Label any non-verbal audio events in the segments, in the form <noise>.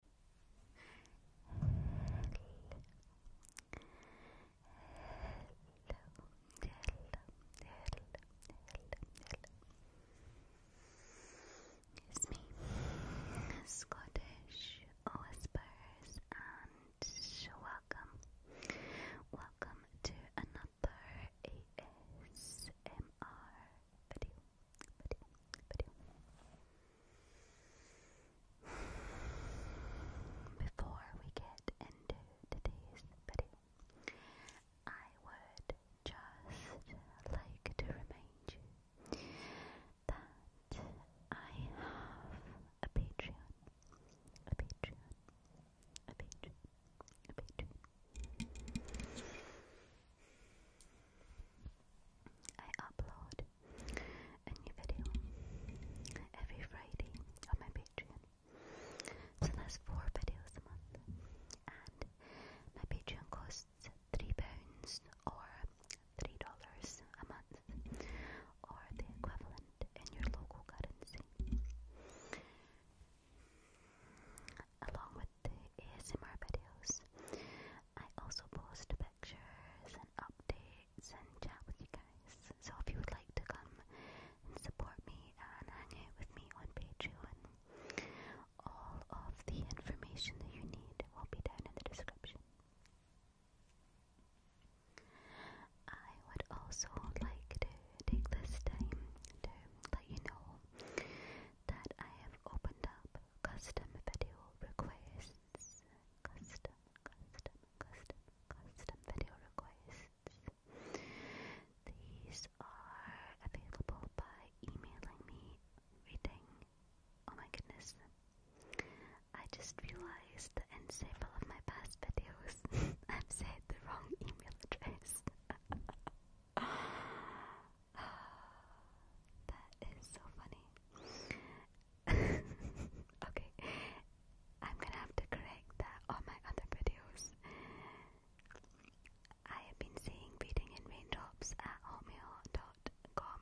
hello. It's me, Scottish Whispers, and welcome, welcome to another ASMR video. Before we get into today's I would just like to remind you that I have a Patreon. I upload a new video every Friday on my Patreon. So that's four videos a month. And my Patreon costs £3 or $3 a month, or the equivalent in your local currency. Along with the ASMR videos, I also post a bit lectures and updates and chat with you guys. So if you would like to come and support me and hang out with me on Patreon, all of the information that you need will be down in the description. I would also like to take this time to let you know that I have opened up custom video requests requests, custom, custom, custom, custom video requests. These are available by emailing me, reading. Oh my goodness. I just realized that in several of my past videos <laughs> I've said the wrong email address. <laughs> <gasps> that is so funny. <laughs> okay, I'm gonna have to correct that on my other videos. I have been saying reading in raindrops at hotmail.com.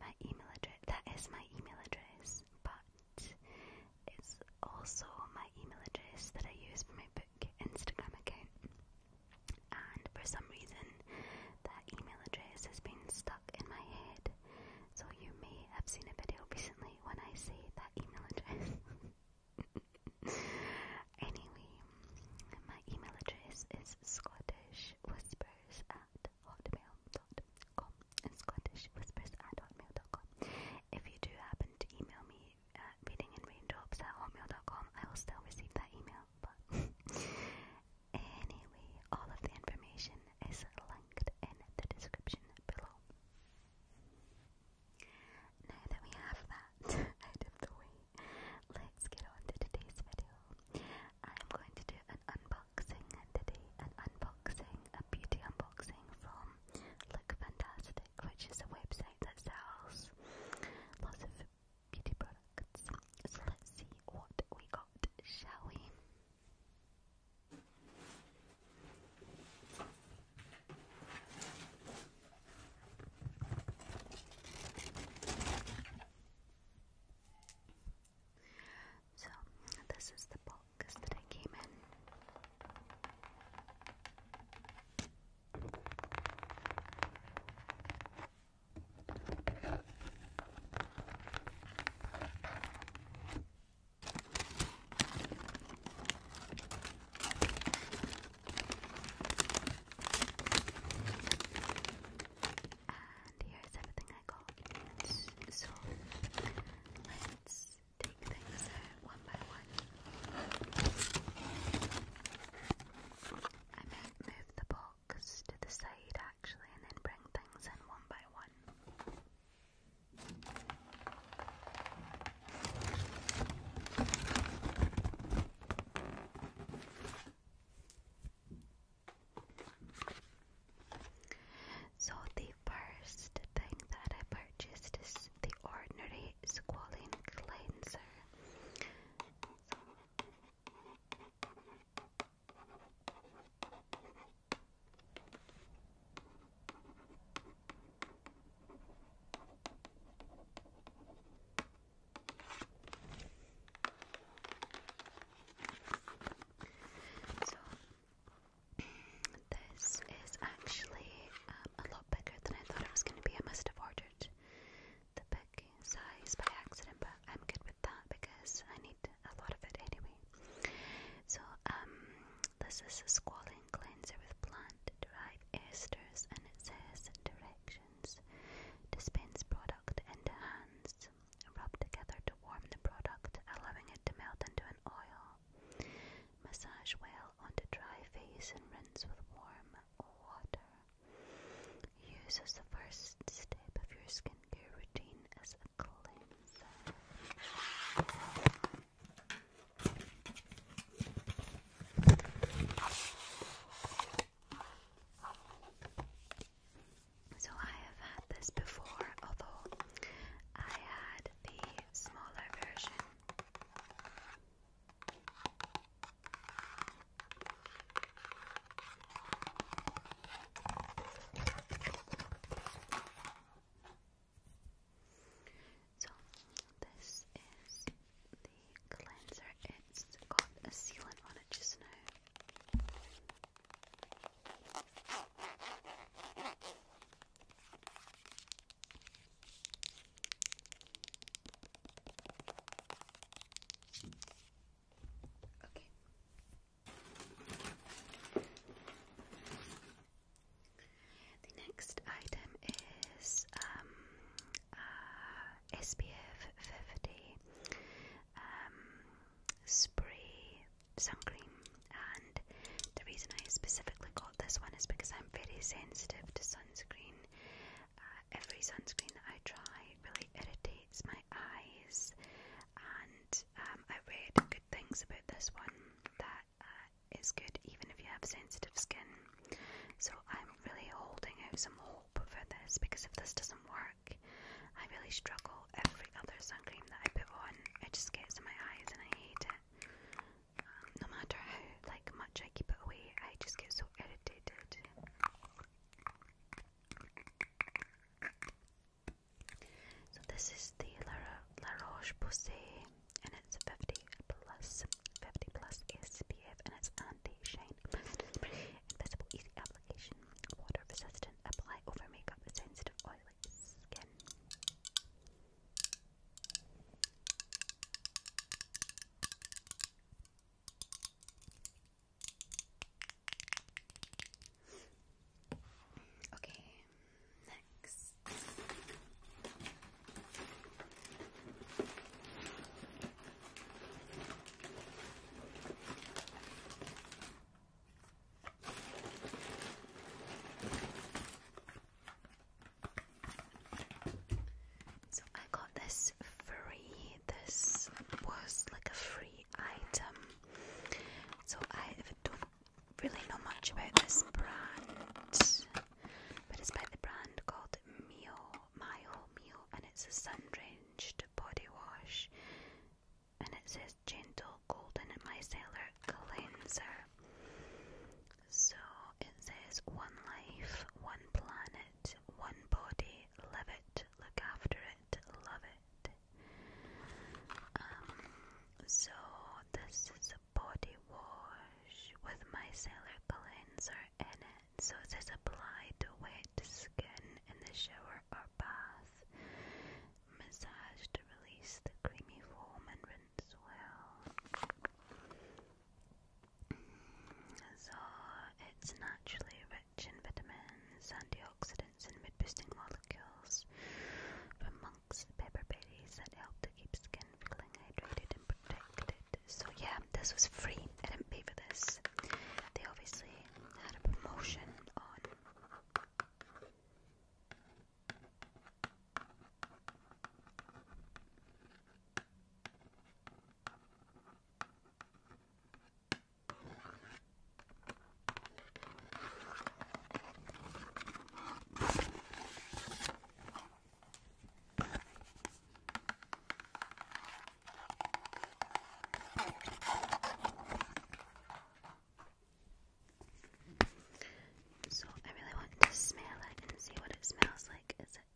My email address, that is my email address, but it's also my email address that I use for my book Instagram account and for some reason, that email address has been stuck in my head. So you may have seen a video <laughs> recently when I say that email address. <laughs> anyway, my email address is scottishwhispers at hotmail.com. Scottishwhispers at hotmail.com. If you do happen to email me at reading in raindrops at hotmail.com, I will still receive that email up. anyway, all of the information is linked in the description below. Now that we have that <laughs> out of the way, let's get on to today's video. I'm going to do an unboxing today, an unboxing, a beauty unboxing from Look Fantastic, which is a website that sells lots of beauty products. So let's see what we got, shall we? So, this is the box that I came in. And here's everything I got. So let's take things out one by one. I might move the box blocks to the side actually and then bring things in one by one. So, the first thing that I purchased is the ordinary squalene cleanser. So, so this is actually um, a lot bigger than I thought it was going to be. I must have ordered the big size by accident, but I'm good with that because I need a lot of it anyway. So, um, this is a squalling cleanser with plant derived esters, and it says directions dispense product into hands, rub together to warm the product, allowing it to melt into an oil. Massage well onto dry face and rinse with warm water. Use as the first step of your skincare routine as a cleanser. So I have had this before, although I had the smaller version. So this is the cleanser. It's got a sealant on it just now. Okay. The next item is um, uh, SPF 50 um, spray sunscreen, and the reason I specifically got this one is because I'm very sensitive to sunscreen. Uh, every sunscreen I try really irritates eyes, my eyes, and um, I read good things about this one that uh, is good even if you have sensitive skin. So I'm really holding out some hope for this because if this doesn't work, I really struggle. Every other sun cream that I put on, it just gets in my eyes and I hate it. Um, no matter how like much I keep it away, I just get so irritated. So this is the La Roche-Posay and it's 50 plus, 50 plus SPF and it's anti-shine, invisible, easy application, water resistant, apply over makeup, sensitive, oily skin. Okay, next. So I got this free. This was like a free item. So I don't really know much about this brand, but it's by the brand called Mio, Mio, Mio, and it's a sun-drenched body wash, and it says gentle golden micellar cleanser. So it says one life, one planet, one body, live it, look after it, love it. Um, so this is a body wash with micellar cleanser in it. So it is applied to wet skin in the shower or bath. Massage to release the creamy foam and rinse well. So it's naturally rich vitamins, antioxidants, and mood boosting molecules, from monks pepper berries that help to keep skin feeling hydrated and protected. So, yeah, this was free. I didn't pay for this. They obviously had a promotion on. So I really want to smell it and see what it smells like. Is it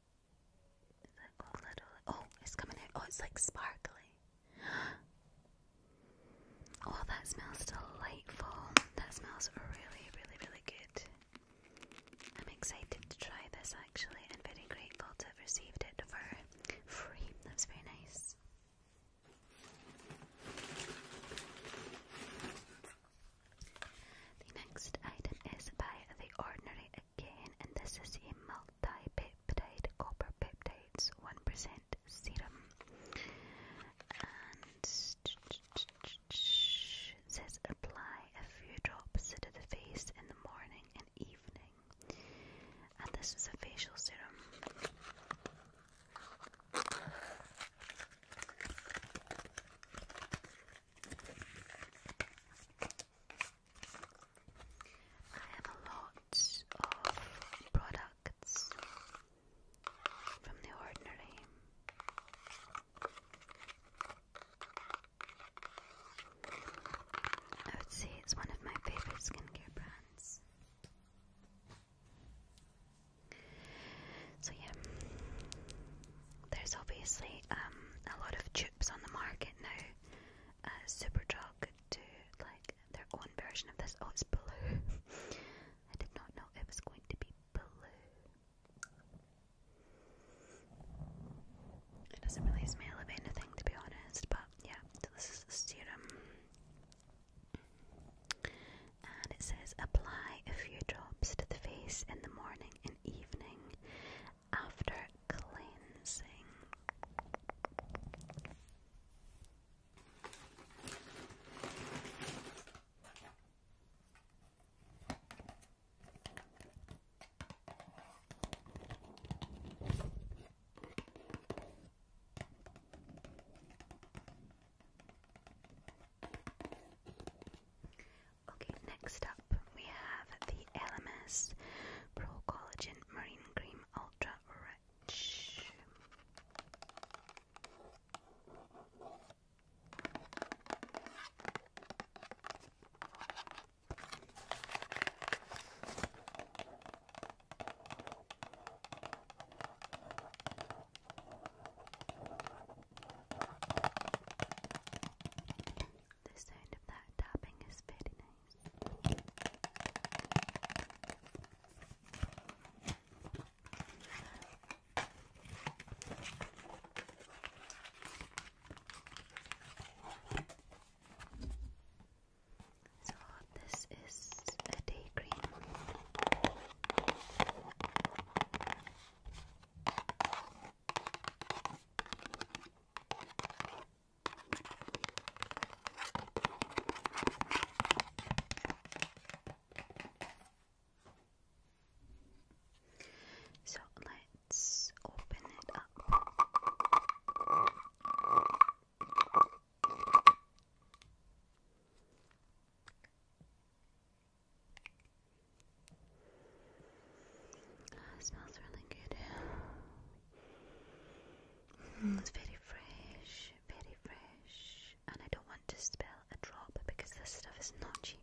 is it gold little? Oh, it's coming out. Oh, it's like sparkly. <gasps> Oh, that smells delightful. That smells really, really, really good. I'm excited to try this actually and very grateful to have received it for free. That's very nice. The next item is by The Ordinary again, and this is a dipeptide copper peptides 1% serum and says apply a few drops to the face in the morning and evening and this is a facial serum I have a lot of products from The Ordinary. I would say it's one of my favorite skincare brands. So yeah, there's obviously um, a lot of chips on the market now. Uh, Superdrug do like their own version of this. Oh, it's blue. <laughs> I did not know it was going to be blue. It doesn't really smell of anything, to be honest, but yeah, this is the serum. And it says apply a few drops to the face in the morning and evening after cleansing. Okay, next up we have the LMS Pro Collagen Marine Cream Ultra much. The sound of that tapping is very nice. So this is a day cream. So let's open it up. Uh, smells really good. Hmm, it's very fresh, very fresh. And I don't want to spill a drop because this stuff is not cheap.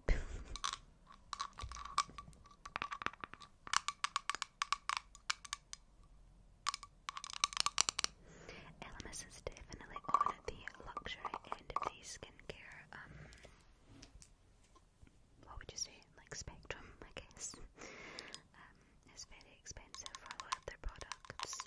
LMS is definitely on the luxury end of the skincare, um, what would you say, like spectrum, I guess. Um, it's very expensive for a lot products.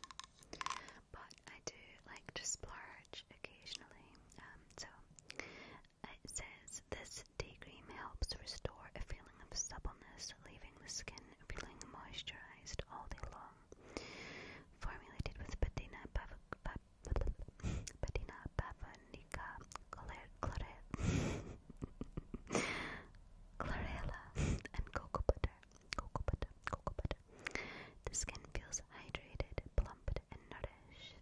But I do like to splurge occasionally. Um, so it says this day cream helps restore a feeling of suppleness, leaving the skin feeling moisturized all day long. Formulated with betina pav betina patina pavonica <laughs> chloride. <laughs> chlorella, and cocoa butter. Cocoa butter, cocoa butter. The skin feels hydrated, plumped, and nourished.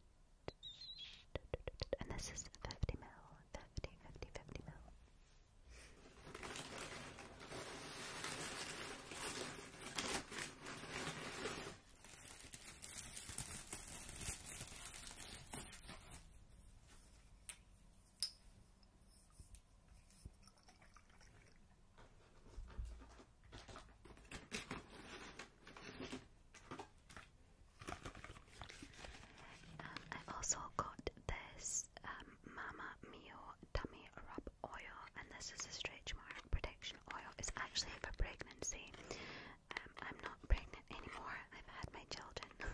And this is 50 mil, 50, mil. I also got this um, Mama Mia Tummy Rub Oil, and this is a stretch mark protection oil. It's actually for pregnancy. Um, I'm not pregnant anymore. I've had my children, <laughs>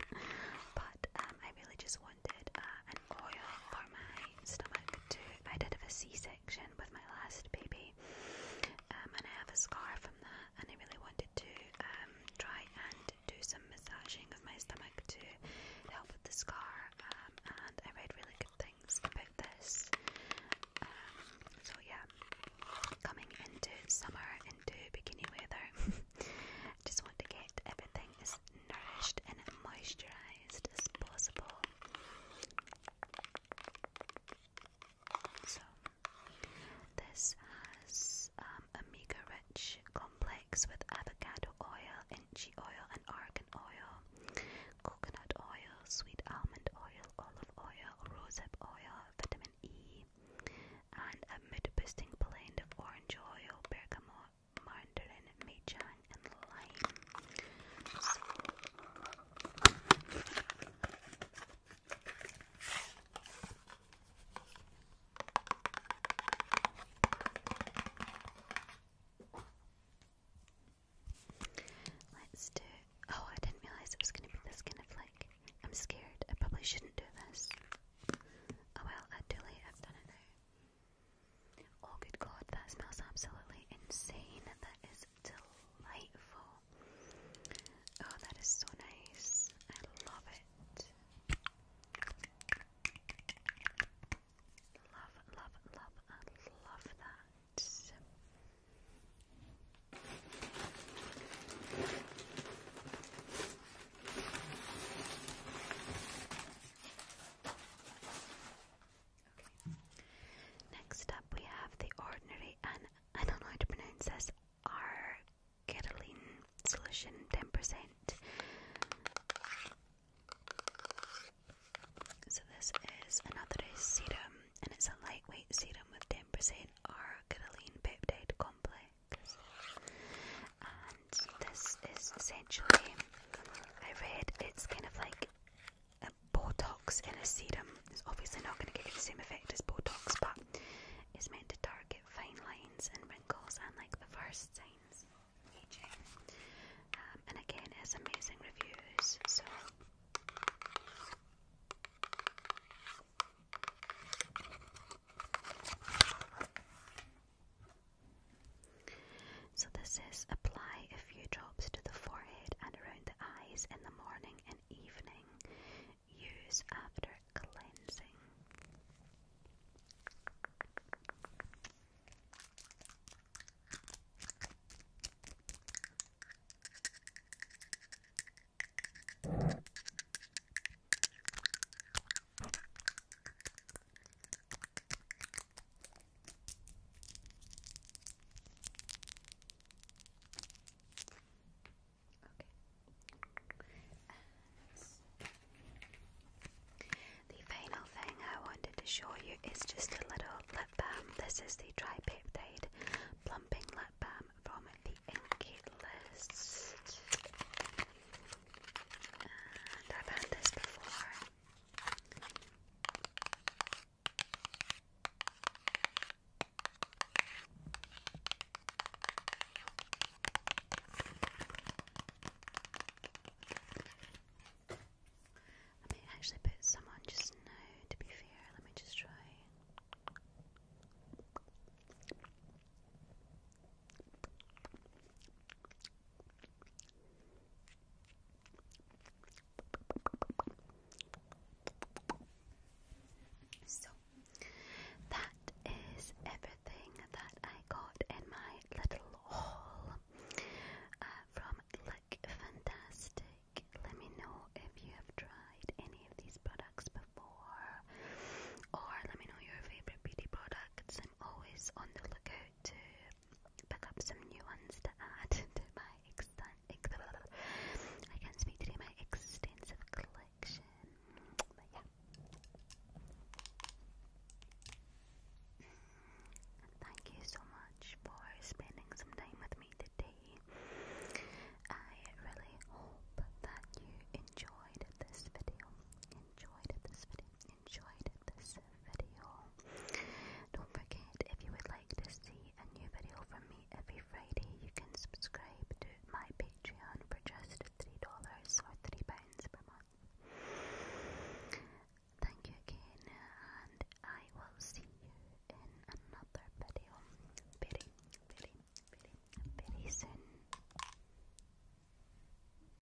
but um, I really just wanted uh, an oil for my stomach too. I did have a C-section with my last baby, um, and I have a scar from that. And I really wanted to um, try and do some massaging of my stomach to help with the scar. Um, and I read really good things about this. Um, so yeah, coming into summer, into bikini weather, <laughs> just want to get everything as nourished and moisturized as possible. So, this has um, omega rich complex with avocado oil, inchy oil, and argan oil, coconut oil, sweet almond oil, olive oil, rosehip oil, vitamin E, and a mood blend of orange oil, bergamot mandarin, meijang, and lime. Let's do. Oh, I didn't realize it was going to be this kind of like. I'm scared. I probably shouldn't do this. Oh well, too late. I've done it Oh, good God, that smells absolutely insane. That is delightful. Oh, that is so nice. I love it. Love, love, love, love that. Next up, we have the ordinary, and I don't know how to pronounce this, R Argitalene solution, 10%. So this is another serum, and it's a lightweight serum with 10% R argitalene peptide complex this is essentially, I read it's kind of like a Botox in a serum. It's obviously not going to give you the same effect as Botox, but it's meant to target fine lines and wrinkles and like the first signs um, and again, it has amazing reviews, so. So this is apply a few drops to the forehead and around the eyes in the morning and evening. Use after cleansing. The final thing I wanted to show you is just a little lip balm. This is the Tripeptide Plumping Lip Balm from the Inky List. And I've had this before. I may actually put some on just now, to be fair. Let me just try. So that is everything that I got in my little haul uh, from Look Fantastic. Let me know if you have tried any of these products before, or let me know your favorite beauty products. I'm always on the lookout to pick up some new ones to add <laughs> to my extent. I can speak today my extensive collection. But yeah. Thank you so much for spending some time with me today. I really hope that you enjoyed this video. Enjoyed this video. Enjoyed this video. Don't forget, if you would like to see a new video from me every Friday, you can subscribe to my Patreon for just $3 or £3 per month. Thank you again, and I will see you in another video very, very, very, very soon.